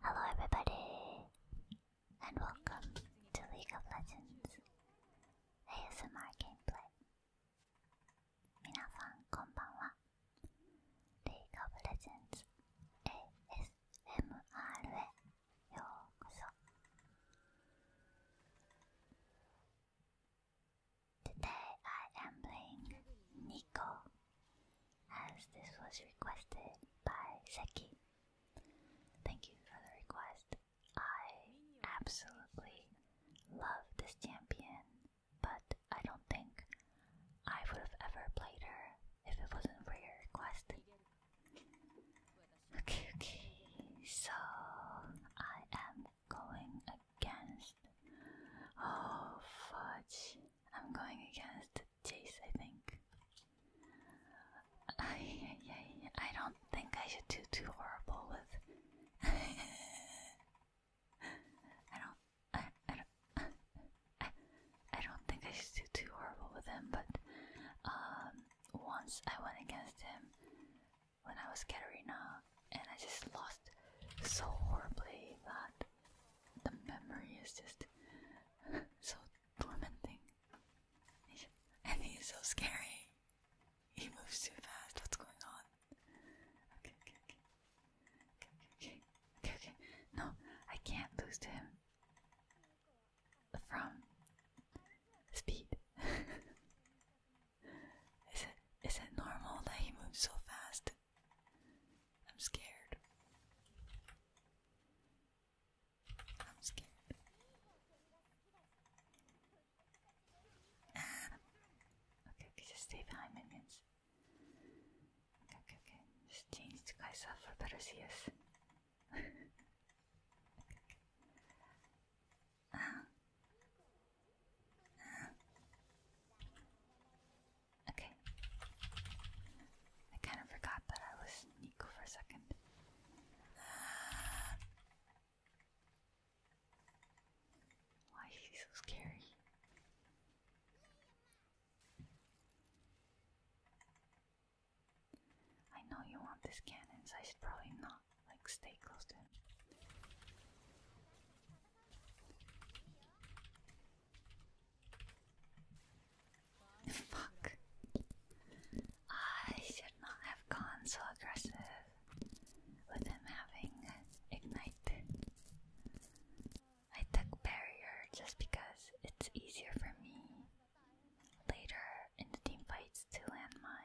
Hello, everybody, and welcome to League of Legends ASMR Gameplay. Minasan, konbanwa. League of Legends ASMR へようこそ Today I am playing Nico as this was requested by Seki. Thank you for the request. I absolutely love this champion, but I don't think I would have ever played her if it wasn't for your request. Okay, okay, so I am going against. Oh, fudge. I'm going against Chase, I think. I, don't think I should do too horrible with. I don't. I, don't. I, don't think I should do too horrible with him, but um, once I went against him when I was Katarina, and I just lost so horribly that the memory is just so tormenting. And he's so scary. He moves too fast. What's going on? Okay, okay, okay. Okay, okay, okay. No, I can't lose to him from speed. is it is it normal that he moves so fast? I'm scared. I'm scared. Ah. okay, just stay behind minions. Okay, okay, okay. Just change the guys up for better see us. Ah. Ah. Okay. I kind of forgot that I was Nico for a second. why is he so scary? I know you want this cannon, I should probably not like stay close to him. Fuck. I should not have gone so aggressive with him having Ignite. I took Barrier just because it's easier for me later in the team fights to land my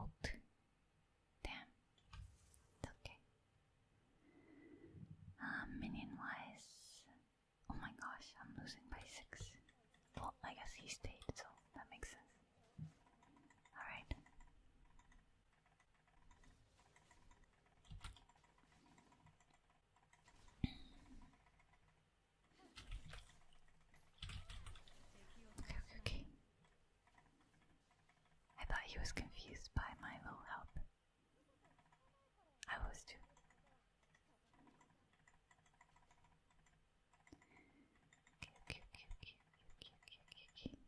ult. Damn. It's okay. Uh, minion wise, oh my gosh, I'm losing by six. Well, I guess he stayed, so that makes sense. Alright. okay, okay, okay. I thought he was confused by my low help. I was too. Okay, okay, okay, okay, okay, okay, okay, okay.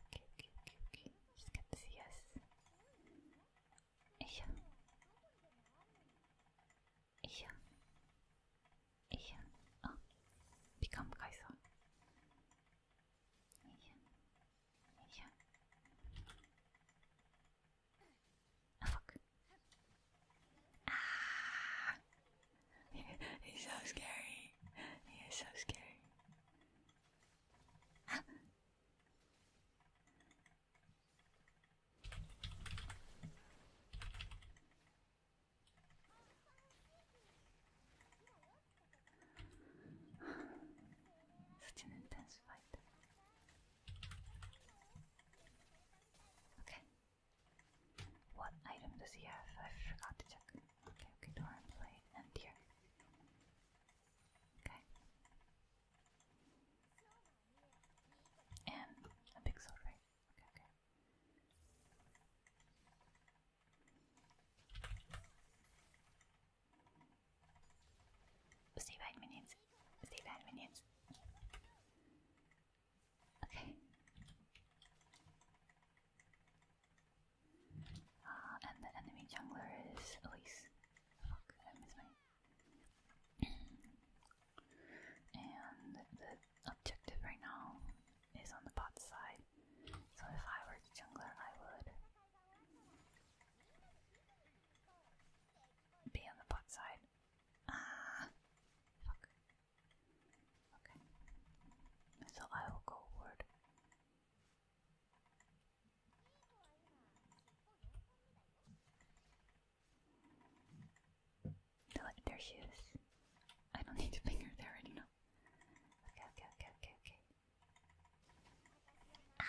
Okay, okay, okay, okay, She's to us. Yeah. Yeah. Yeah. Ah. Bir kamp Нельзя. fuck. Ah. He's so scary. He is so scary. Such an intense fight. Okay. What item does he have? I forgot to check. Okay, okay, Doran blade and here. Okay. And a big sword, Okay, okay. Stay five minutes. Stay five minutes. Okay. Ah, and the enemy jungler is Elise. Fuck, I miss my. and the objective right now is on the bot side. So if I were the jungler, I would be on the butt side. Ah, fuck. Okay. So I will go ward. there she is. I don't need to finger there already, Okay, okay, okay, okay, okay. Ah,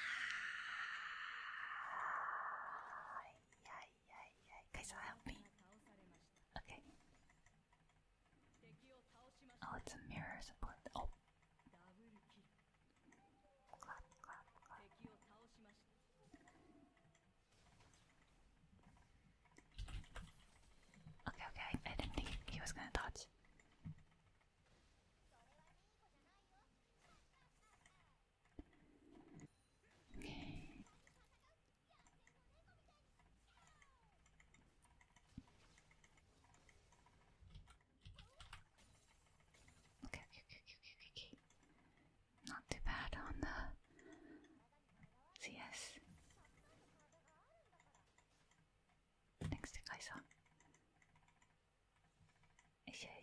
yeah, yeah, yeah. Guys, help me. Okay. Oh, it's a mirror support. Oh. Okay, okay, I, didn't think he was gonna touch. Okay. Okay, okay, okay, okay, Not too bad on the CS. Next thing I saw. Isha,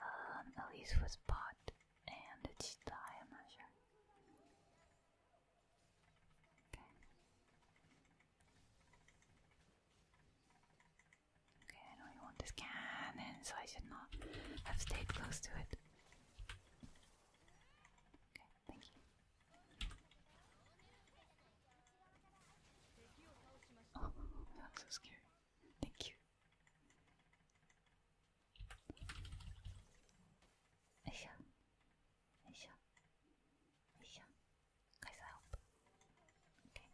um, Elise was bought, and did she die? I'm not sure. Okay. Okay, I know you want this cannon, so I should not have stayed close to it. Okay, thank you. Oh, that so scary. Thank you. Aisha. Aisha. Aisha. Guys, I help. Okay.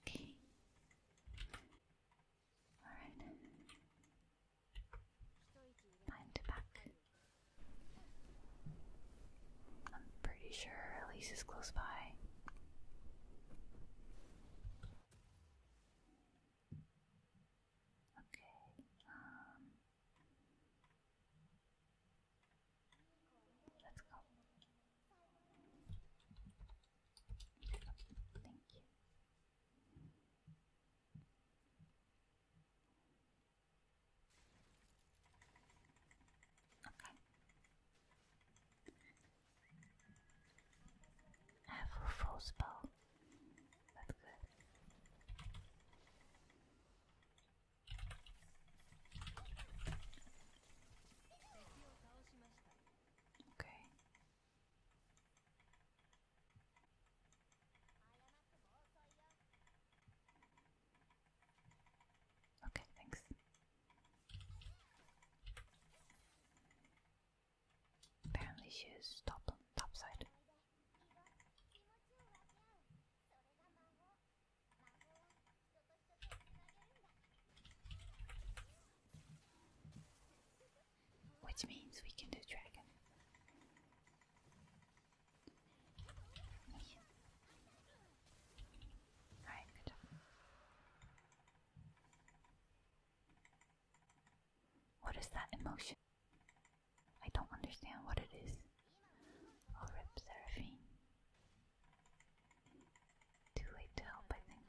Okay. Alright. Behind back. I'm pretty sure Elise is close by. Okay, um, Let's go. Thank you. Okay. I have a full spell. That's good. Okay. Okay, thanks. Apparently she is top on top side. Which means we can do dragon. What is that emotion? I don't understand what it is. Oh, I'll Seraphine. Too late to help, I think.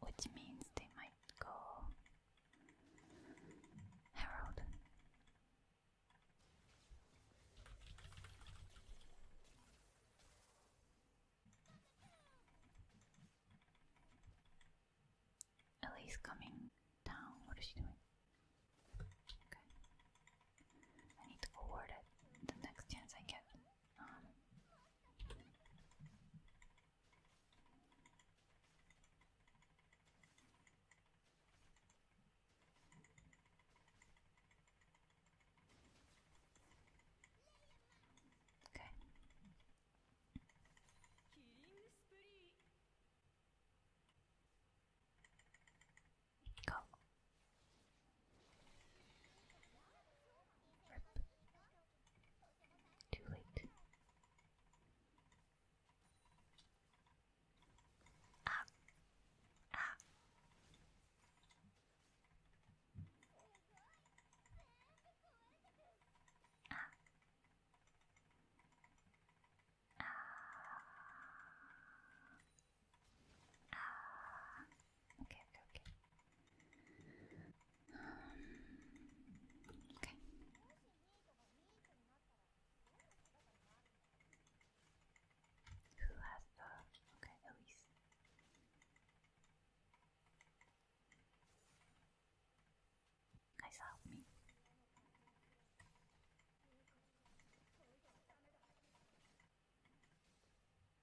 Which means they might go Harold. Ellie's coming down. What is she doing? Okay. I need to go it the next chance I get. Um, okay. Go. Too late. Ah. Ah. Ah. Ah. Ah. Okay, okay, okay. Um, okay. Who has the okay, Elise? Guys, help me.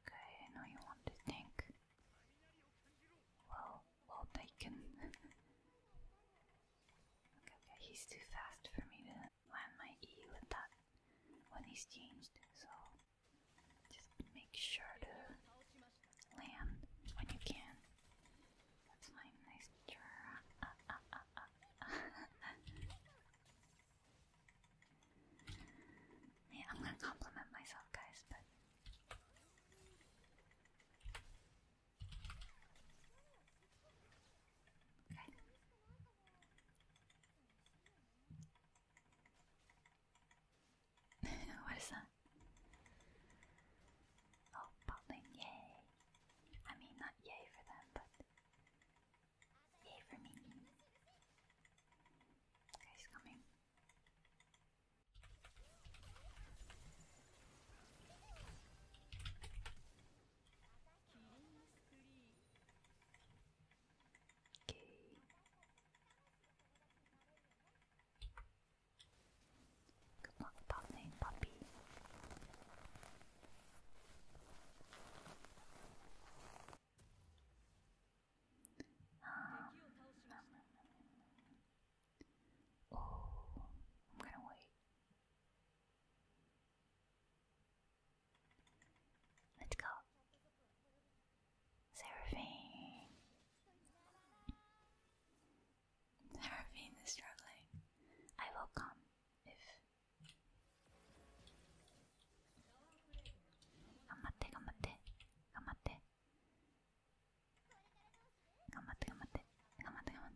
Okay, now you want to think. Well, well taken. okay, okay, he's too fast for me to land my E with that when he's changed, so just make sure to land when you can. That's my nice try. Yeah, I'm gonna compliment myself, guys, but. what is that? Oh, bottling, yay! I mean, not yay for them, but Yay for me. Guy's coming. Okay. Good luck, puppy. Um, nom, nom, nom, nom, nom. Oh, I'm gonna wait. Let's go. Seraphine. Seraphine is struggling. I will come if 頑張って頑張って頑張って頑張って頑張って頑張って頑張ってああ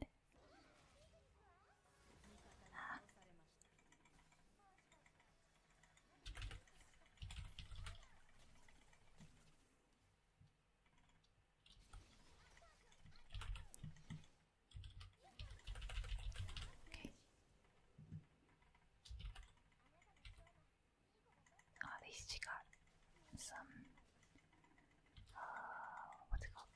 Oh, ah, at least she got some. Uh, what's it called?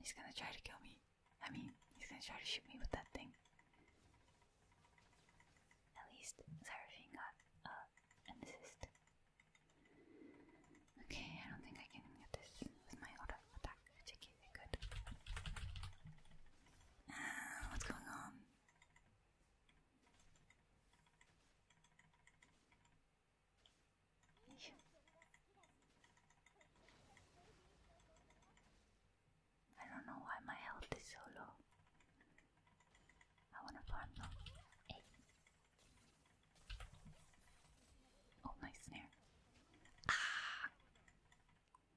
He's gonna try to kill me. I mean, he's gonna try to shoot me with that thing. At least Seraphine got an assist. Okay, I don't think I can get this with my auto attack good. what's going on? I don't know why my health is so low. I wanna farm though. Oh, nice snare. Ah!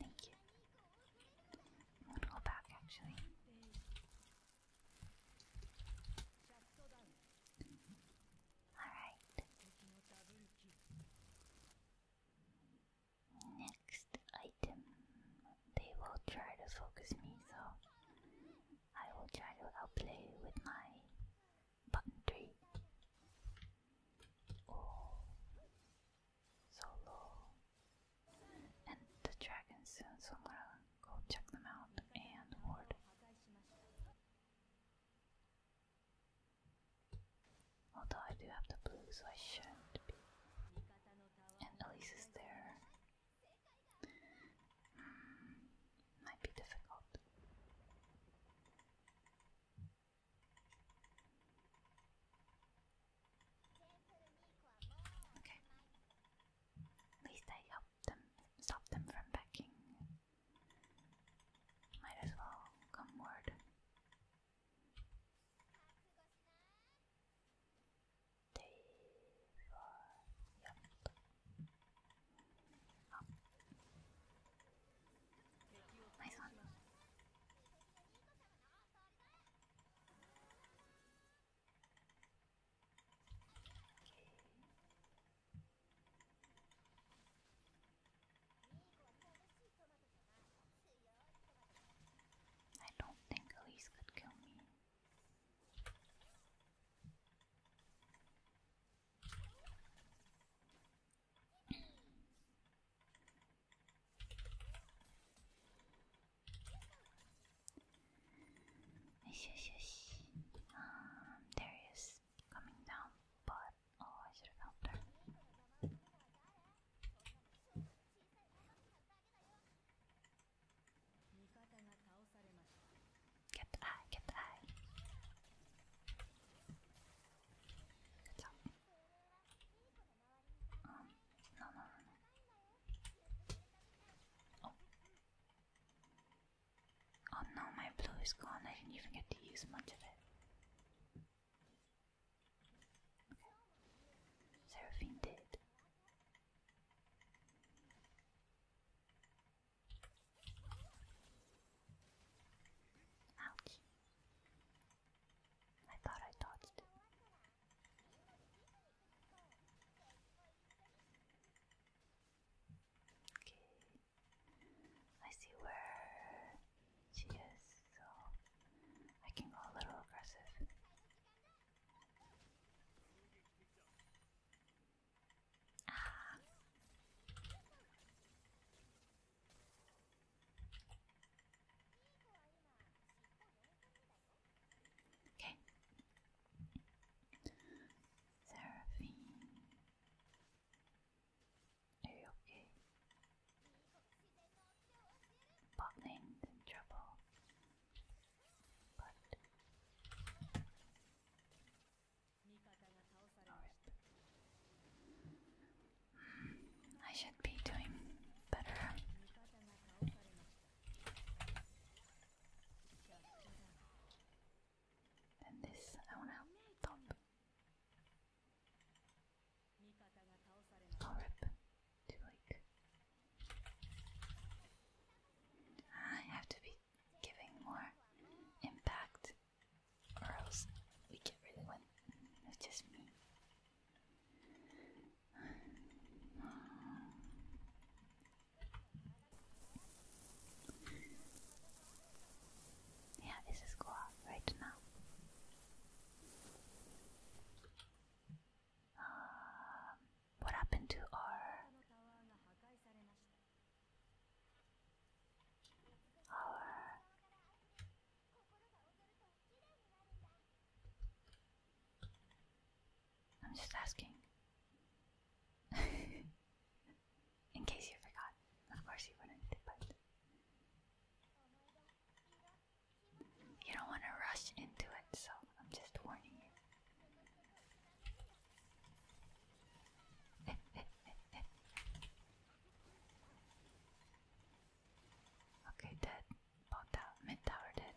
Thank you. I'm going to go back actually. Alright. Next item. They will try to focus me, so I will try to outplay with my button three. Oh, And the dragon so I'm gonna go check them out and ward. Although I do have the blue, so I shouldn't be. And Elise is there. Hmm, might be difficult. Okay. At least I helped them stop them from backing. Might as well come word. Day four. Yep. Up. Nice one. I don't think Elise could kill me. Yes, yes, yes. Um, there he is coming down, but oh, I should have helped her. Get the eye, get the eye. Oh, oh, oh no, my blue is gone. I didn't even get to use much of it. Okay. Seraphine did. Ouch. I thought I dodged it. Okay. I see where she is, so I can go a little aggressive. Ah. Okay. Seraphine. Are you okay? Botling's in trouble. But I should be doing better. And this, I wanna top. I'll rip to like. I have to be giving more impact or else we get rid of one. just me. Yeah, this is cool right now. Um, what happened to our I'm just asking. In case you forgot. Of course you wouldn't, but you don't want to rush into it, so I'm just warning you. Okay, dead. Bought out. Mid tower dead.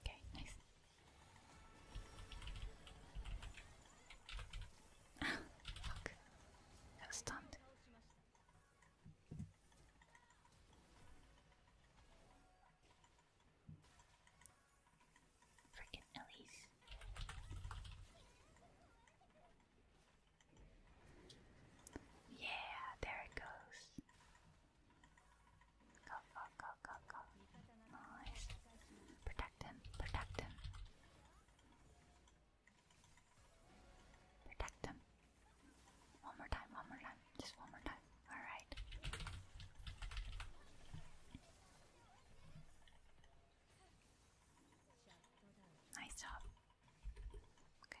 Okay, nice. Ah, fuck. I was stunned. Freaking Elise. Yeah, there it goes. Go, go, go, go, go. Nice. Protect him, protect him. Protect him. One more time, one more time. Just one more time. Alright. Nice job. Okay.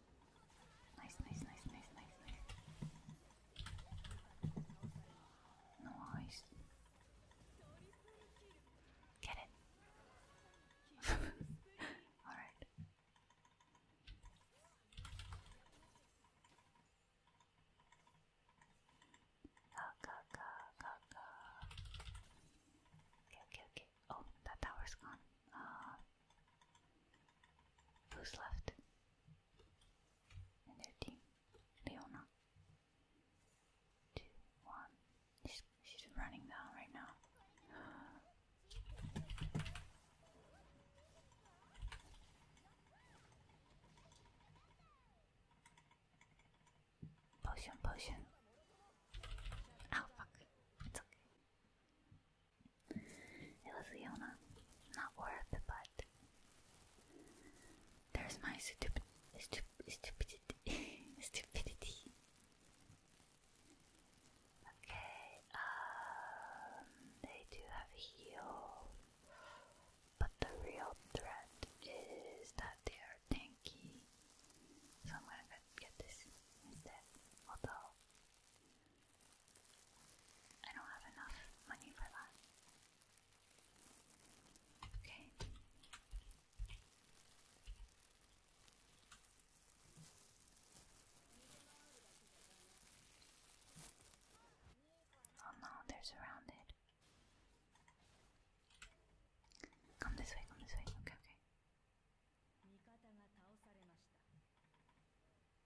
Nice, nice, nice, nice, nice, nice. Nice. Get it. All right. Go, go, go, go, go. Okay, okay, okay. Oh, that tower's gone. Uh, Who's left? And Leona. Two, one. She's, she's running down right now. potion, potion. Oh It's okay. It was Leona. Not worth, but there's my stupid, stup stupidity, stupidity. Okay, um, they do have heal, but the real threat is that they are tanky, so I'm gonna get this instead. Although I don't have enough money for that. Okay. Oh no, they're surrounded. Come this way, come this way. Okay, okay.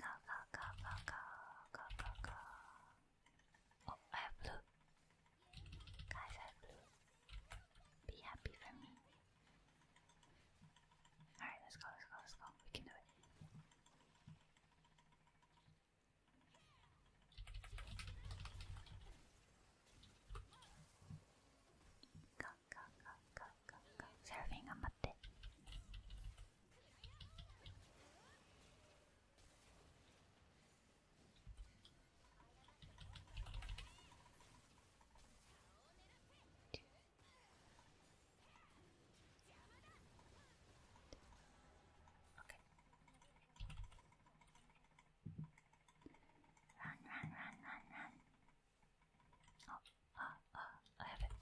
Go, go, go, go, go, go, go, Oh, I have blue. Guys, I have blue. Be happy for me. Alright, let's go, let's go, let's go. We can do it. Go, セラフィン頑張ってランランランランラン Oh, ah, ah, I have it.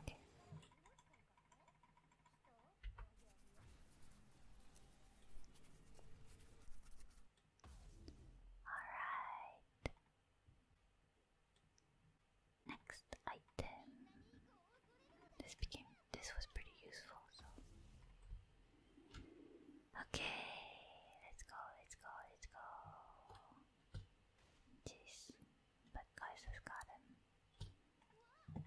Okay. Alright. Next item. This became this was pretty useful, so Okay, let's go, let's go, let's go. Jeez, but guys has got him. Oh,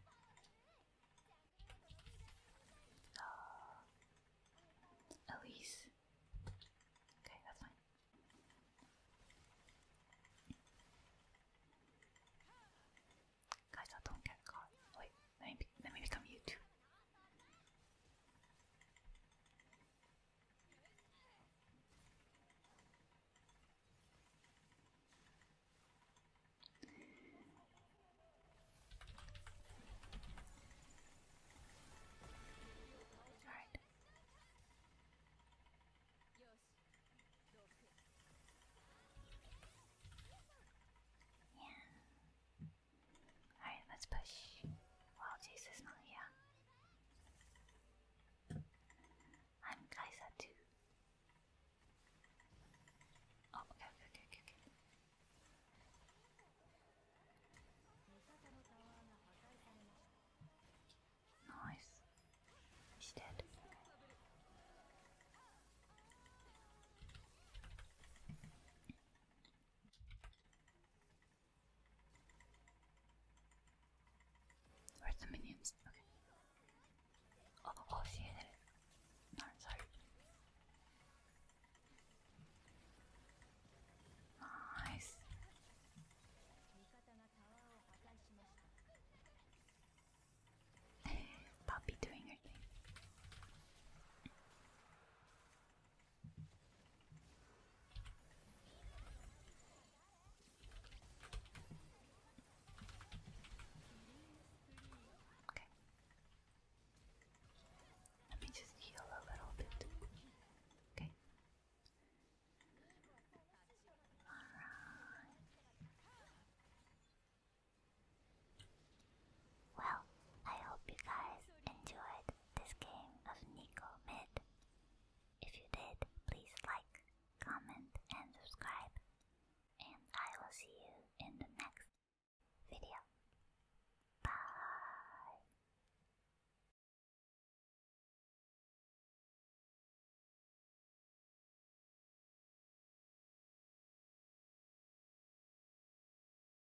Okay, that's Guys, don't get caught. Wait, let me, let me become you too. All right. Yeah. Alright, let's push. Wow, Jesus, is not here. I'm Kaisa too. Oh, okay, okay, okay, okay. Nice. She's dead. Where's the minions? Okay. Oh, oh, did it. Nice. Poppy doing her thing. Okay. Let me just heal a little bit. Okay. Alright. Well, I hope you guys enjoyed this game of Nico Mid. If you did, please like, comment, and subscribe. And I will see you in the next video. Bye.